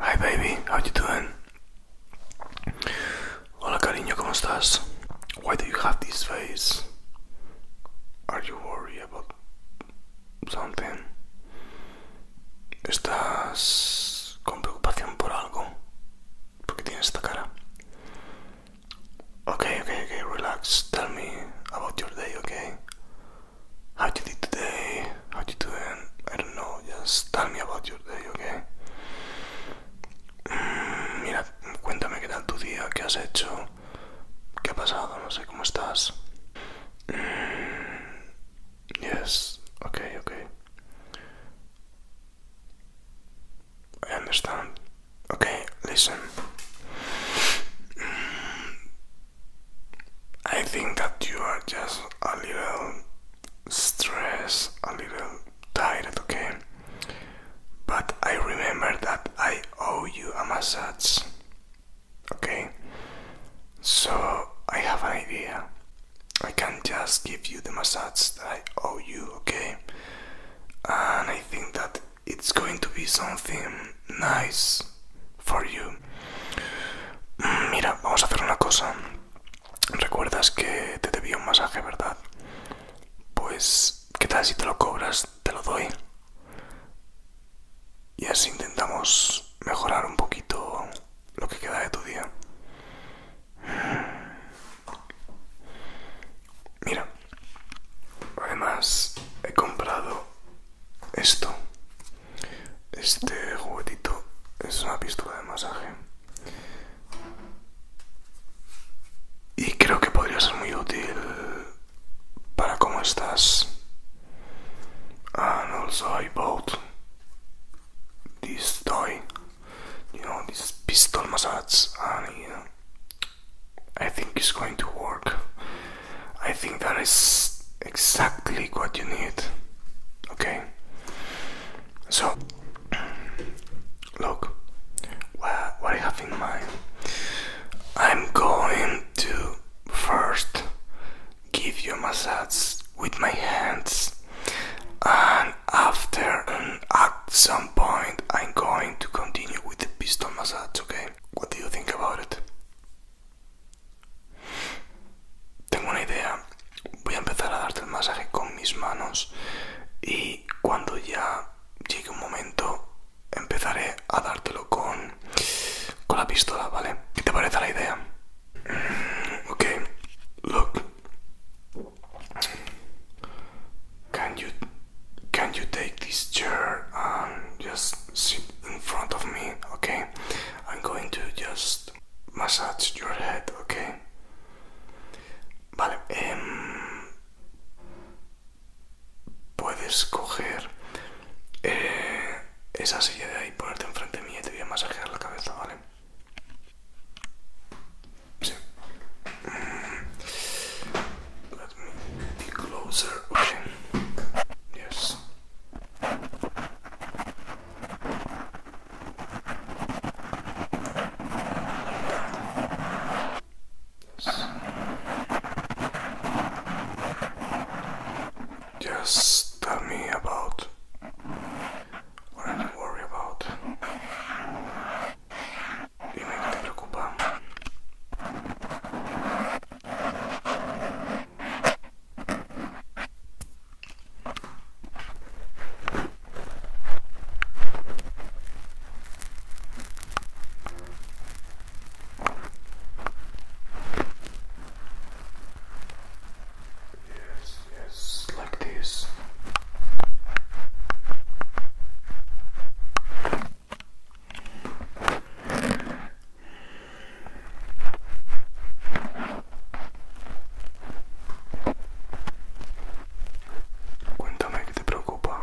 Hi baby, how you doing? Hola cariño, ¿cómo estás? Why do you have this face? Are you worried about something? ¿Estás con preocupación por algo? Porque tienes esta cara. Okay, okay, okay, relax. Tell me about your day, okay? How you did today? How you doing? I don't know. Just tell me about your day, okay? Mm, mira, cuéntame qué tal tu día, qué has hecho, qué ha pasado, no sé cómo estás. Mm, Yes, okay, okay. I understand. Okay, listen. Mm, I think that you are just a little stressed, a little tired, okay? But I remember that I owe you a massage. Okay, so I have an idea. I can just give you the massage that I owe you, okay? And I think that it's going to be something nice for you. Mm, mira, vamos a hacer una cosa. Recuerdas que te debía un masaje, ¿verdad? Pues, ¿qué tal si te lo cobras? Te lo doy. Y así intentamos mejorar un poquito lo que queda de tu día. Mira, además he comprado esto. Este juguetito es una pistola de masaje. Y creo que podría ser muy útil para cómo estás and also I bought this toy, you know, this pistol massage, I think it's going to work. I think that is exactly what you need. Okay, so look what I have in mind. I'm going to first give you a massage with my hands and after at some point I'm going to continue with the pistol massage, okay? What do you think about it? Tengo una idea, voy a empezar a darte el masaje con mis manos y cuando ya llegue un momento empezaré a dártelo con can you can you take this chair and just sit in front of me? Okay, I'm going to just massage your head, okay? Vale, eh, puedes coger eh, esa silla de ahí, ponerte enfrente mía y te voy a masajear la cabeza, ¿vale? Sí. Mm. Let me closer. Yes. Just tell me about what I need to worry about. Dime qué te preocupa. Yes, yes, like this. Cuéntame qué te preocupa.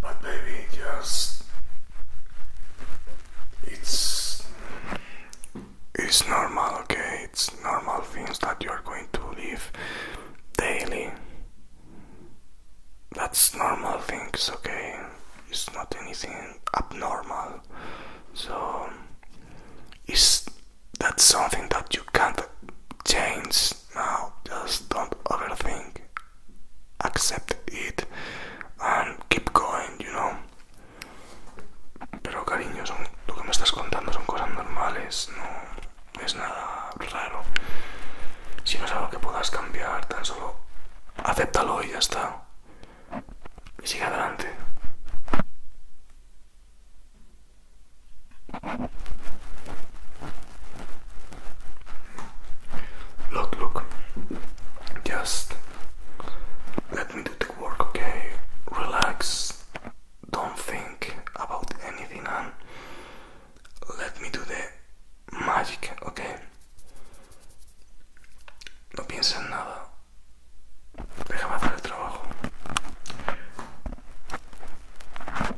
But baby, just it's it's normal, okay? It's normal things that you're going to live daily. That's normal things, okay? It's not anything abnormal. So is that something that you can't change now. Just don't overthink. Accept it and keep going, you know. Pero cariño, lo que me estás contando son cosas normales, no es nada raro. Si no es algo que puedas cambiar, tan solo acéptalo y ya está. Y sigue adelante. Look, look. Just let me do the work, okay? Relax. Don't think about anything and let me do the magic, okay? No pienses en nada. Déjame hacer el trabajo.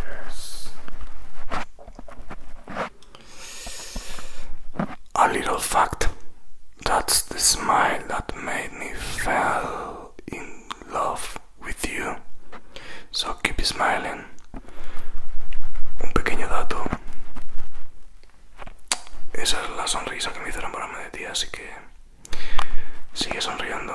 Yes. A little fact that's the smile that made me fall in love with you. So keep smiling. Un pequeño dato. Esa es la sonrisa que me hizo para de ti, así que sigue sonriendo.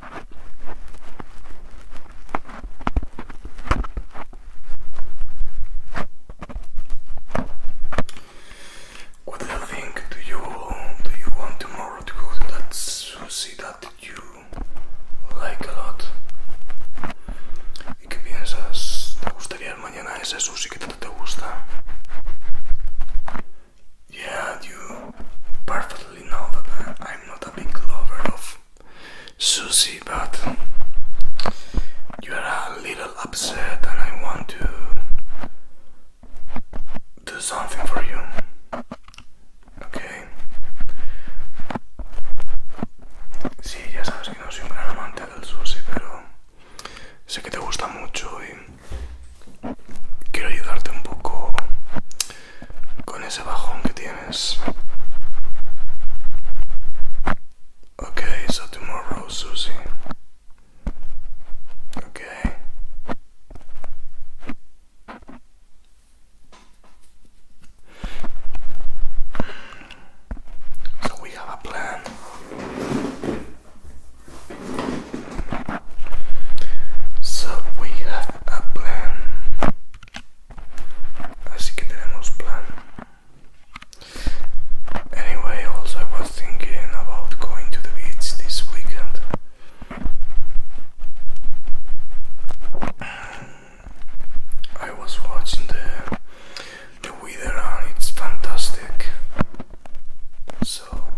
What do you think? Do you do you want tomorrow to go to that sushi that you like a lot? ¿Y qué piensas? ¿Te gustaría mañana ese sushi que tanto te gusta? Yeah, you perfectly know that I'm not a big lover of Susie, but you are a little upset and I want to do something for you. Okay. Sí, ya sabes que no soy un gran amante del sushi, pero sé que te gusta mucho y quiero ayudarte un poco con ese bajón que tienes. Okay, so tomorrow, Susie. Okay. So we have a plan. So we have a plan. Así que tenemos plan. Anyway, also I was thinking about going to the beach this weekend. I was watching the the weather and it's fantastic. So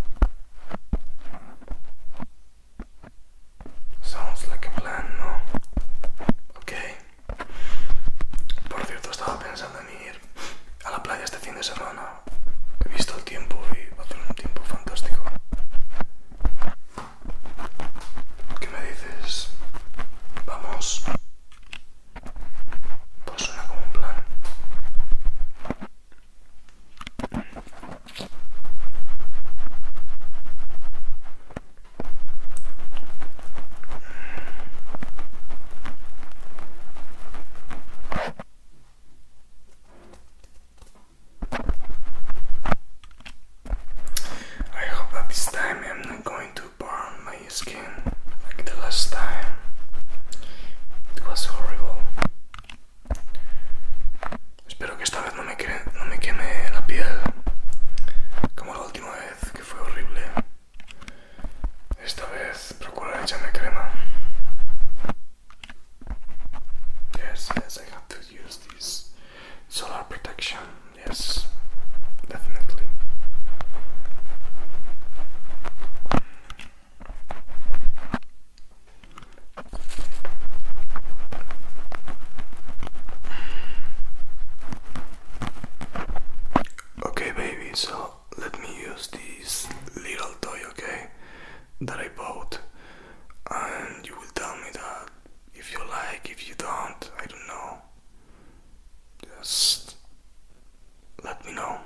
Sounds like a plan, ¿no? Ok. Por cierto, estaba pensando en ir a la playa este fin de semana. He visto el tiempo y va a hacer un tiempo fantástico. ¿Qué me dices? Vamos. Pues suena como un plan. I hope that this time I'm not going to burn my skin like the last time. It was horrible. Espero que esta vez no me, queme, la piel como la última vez, que fue horrible. Esta vez procuraré echarme crema. Yes, yes, I have to use this solar protection. Yes, definitely. Okay, baby, so let me use this little toy, okay, that I bought, and you will tell me that if you like, if you don't, I don't know. Just let me know.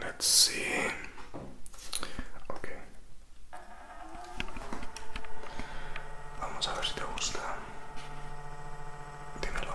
Let's see. Okay. Vamos a ver si te gusta. Dímelo.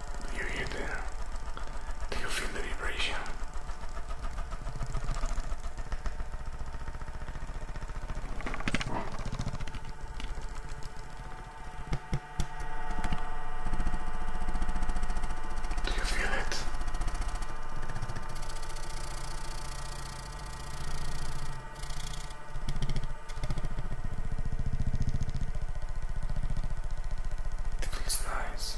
Do you hear the... Do you feel the vibration? you feel it? It feels nice.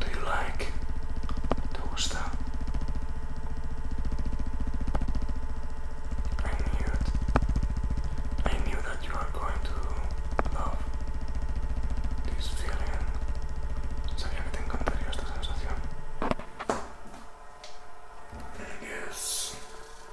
Do you like? ¿Te gusta? I knew it. I knew that you are going to love this feeling. Sabía que te encantaría esta sensación. Yes.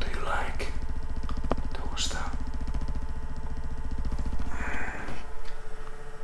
Do you like? ¿Te gusta? Mm.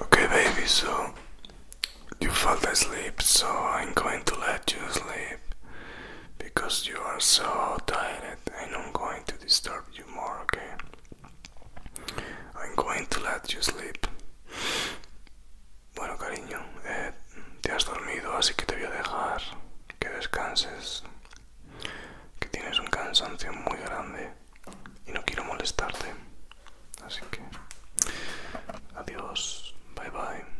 Okay, baby, so you fell asleep, so I'm going to let you sleep because you are so tired and I'm going to disturb you more, okay? I'm going to let you sleep. Bueno, cariño, eh, te has dormido, así que te voy a dejar que descanses, que tienes un cansancio muy grande y no quiero molestarte. Así que, adiós, bye bye.